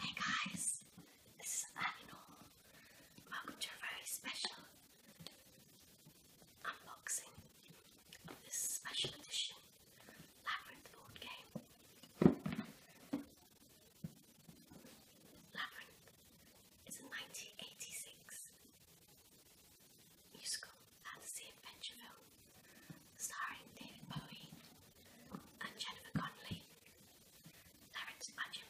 Hey guys, this is Animal. Welcome to a very special unboxing of this special edition Labyrinth board game. Labyrinth is a 1986 musical The Adventure Film, starring David Bowie and Jennifer Connelly, Terence Matthew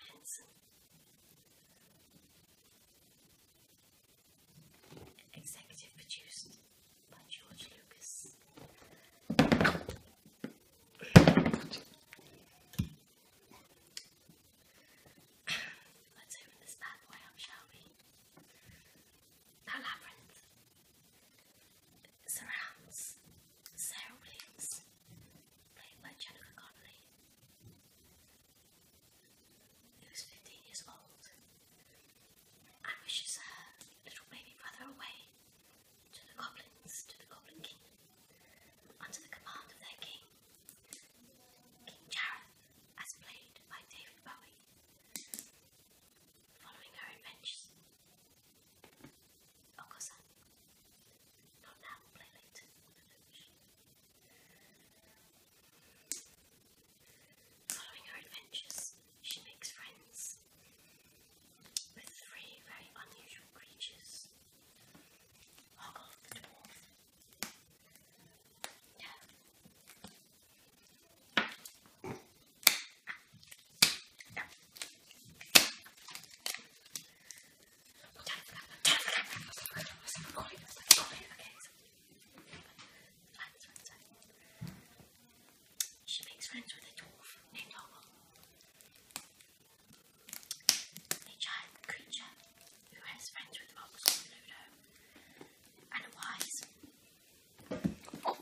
Executive produced George Lucas. Let's open this bad boy up, shall we? Now, Labyrinth surrounds Sarah Williams, played by Jennifer Connelly, who's 15 years old, and wishes her little baby brother away to the goblins, to the Goblin Kingdom under the command of their king. King Jared, as played by David Bowie, following her adventures. Okosan, not now, play Following her adventures, she makes friends with three very unusual creatures Hoggle the dwarf, she makes friends with a dwarf named Arnold. A giant creature who has friends with Box and Ludo and a wise oh.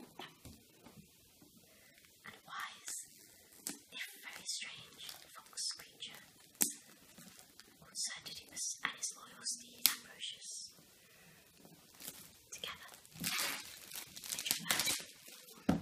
and a very strange fox creature concerned Didymus and his loyal steed Ambrosius. Together, they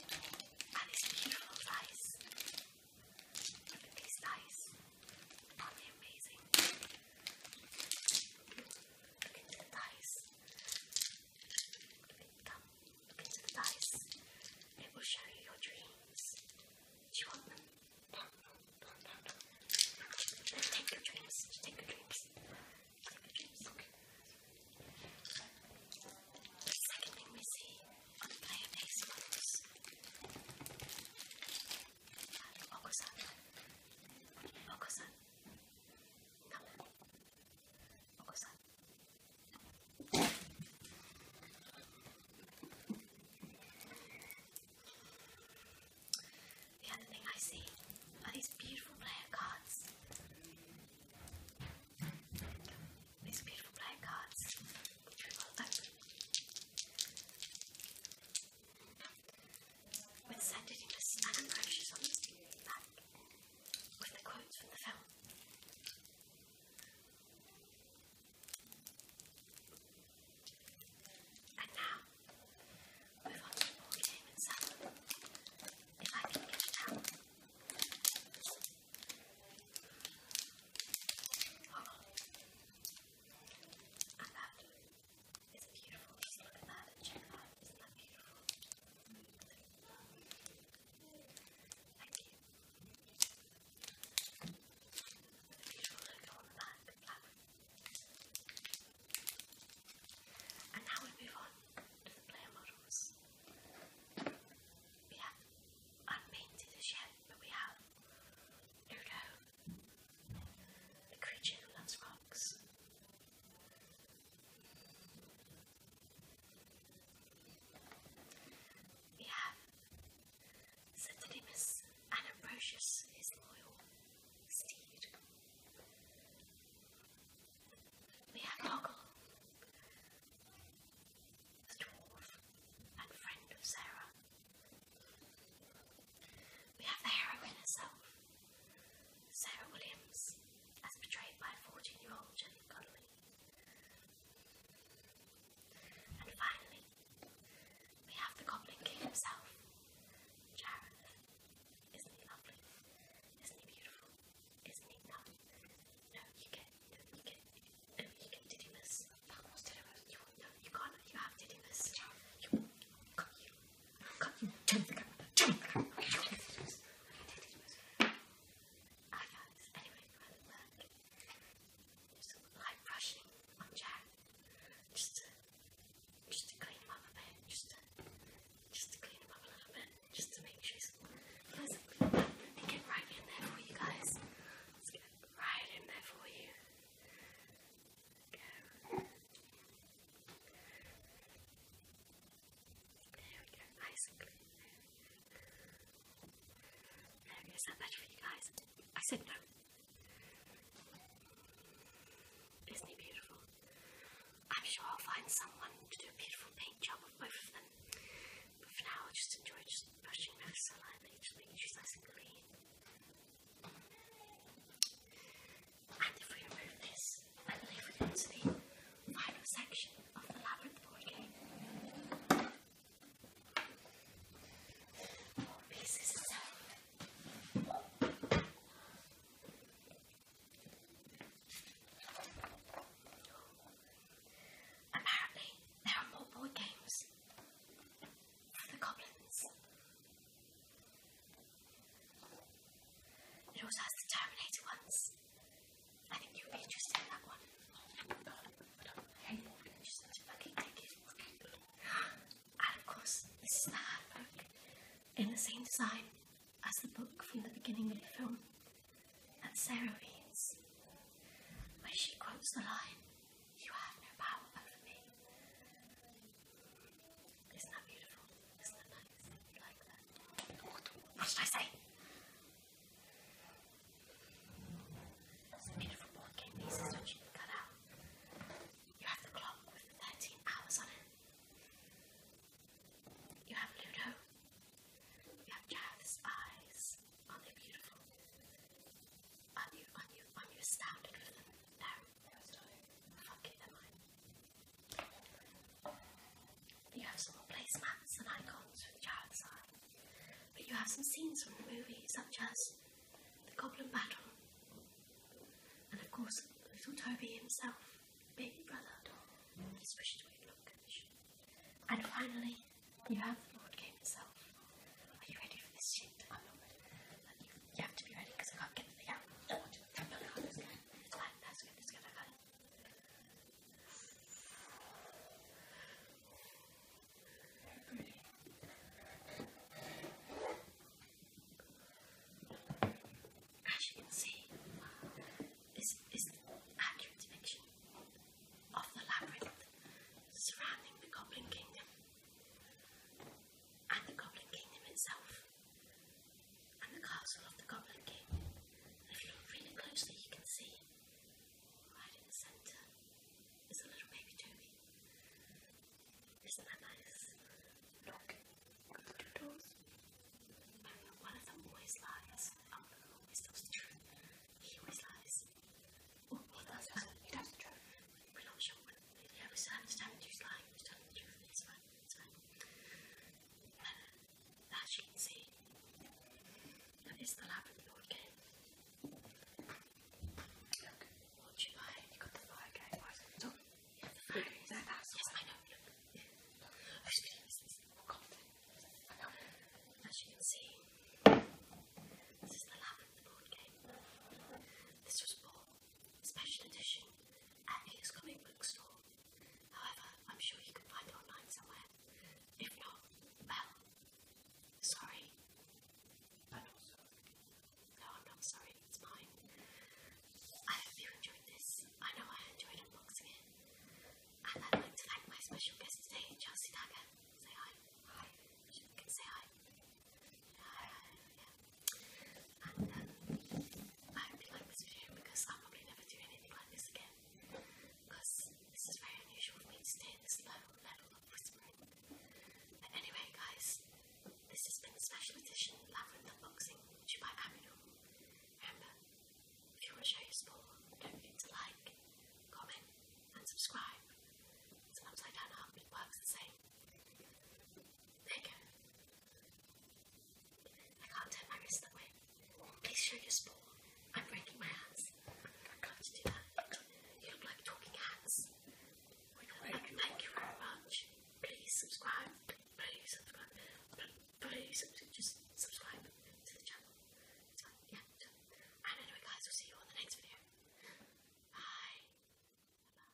And it's beautiful dice. Look at these dice. are amazing? Look into the dice. Look into them. Look into the dice. It will show you your dreams. Do you want them? No, no, Take your dreams. Take your dreams. The second thing we see on the fireplace was uh, Oko-san. Oko-san. Come. Oko-san. The other thing I see are these beautiful player cards? These beautiful player cards, we will open. With scented English with the quotes from the film. And now, with our small team in seven, if I can get it out. Hold on. And that is beautiful. Just look at that and check it out. Isn't that beautiful? Thank you. And now we move on to models. We have unpainted as but we have Ludo, the creature who We have Sir and Ambrosius, his loyal we had Hoggle, the dwarf and friend of Sarah. We have the heroine herself, Sarah Williams, as portrayed by 14 year old Jenny Connolly. And finally, we have the Goblin King himself, Jareth. Isn't he lovely? Isn't he beautiful? Isn't he not? No, you get, you get, no, you get Didymus. Fuck, what's Didymus? You, no, you can't, you have Didymus. You, got you, got you, turn the camera, turn the camera. Ah, Didymus, anyway, we're at Just light brushing on just just to clean up a bit, just to, just to clean up a little bit, just to make sure he's pleasantly get right in there for you guys. Let's get right in there for you. There we go, nice and clean. that for you guys? I said no. Isn't he beautiful? I'm sure I'll find someone to do a beautiful paint job of both of them. for now, I'll just enjoy just brushing my saliva each week. She's nice and clean. And if we remove this and leave it into the final section of the labyrinth board game, Apparently, there are more board games for the goblins. It also has the Terminator ones. I think you'll be interested in that one. And of course, this is the handbook in the same design as the book from the beginning of the film. that Sarah reads, where she quotes the line, You have no power over me. Isn't that beautiful? Isn't that nice? Like that. What did I say? It's made from board game pieces which you can cut out. You have the clock with 13 hours on it. You have Ludo. You have Jath's eyes. Are they beautiful? Are you, are you, are you astounded with them? No, they were still fucking You have some placemats and icons with Jath's eyes. But you have some scenes from the movie, such as the Goblin Battle, and of course, little Toby himself, the baby brother, And finally, you have the board Game itself. Are you ready for this shit? I'm not ready. you, have to be ready because I can't get the yeah, I as you can see, this is an accurate depiction of the labyrinth surrounding the Goblin Kingdom and the Goblin Kingdom itself and the castle of the Goblin King. if you look really closely, you can see right in the center is a little baby Toby. Isn't that nice? Look, One of them always lies. Oh, always tells He always lies. Oh, oh he does. He tells We're not sure. yeah, we still tell him to tell as you can see. And it's the Lavender Lord game. what you buy? You got the fire game, right at the That, this is more confident. I you see, this is the Lavender Lord game. This was bought special edition at his comic However, I'm sure you can find it online somewhere. If not, well, sorry. But also, no, I'm not sorry, it's mine. I hope you enjoyed this. I know I enjoyed unboxing it. And I'd like to thank my special guest today, Chelsea Dagger. Say hi. Hi. You can say hi. Hi. Yeah. And um, I hope you like this video because I'll probably never do anything like this again because this is very unusual for me to stay this low level of whispering. But anyway, guys, this has been a special edition Lavender Boxing which by Ariel. Remember, if you want to show your support, don't forget to like, comment, and subscribe. It's an upside down up, works the same. There you I can't turn my wrist Please show your sport. I'm breaking my hands. I can't do that. You look like talking hands. thank you very much. Please subscribe. Please subscribe. Please just subscribe to the channel. yeah. And anyway, guys, we'll see you on the next video. Bye. Bye.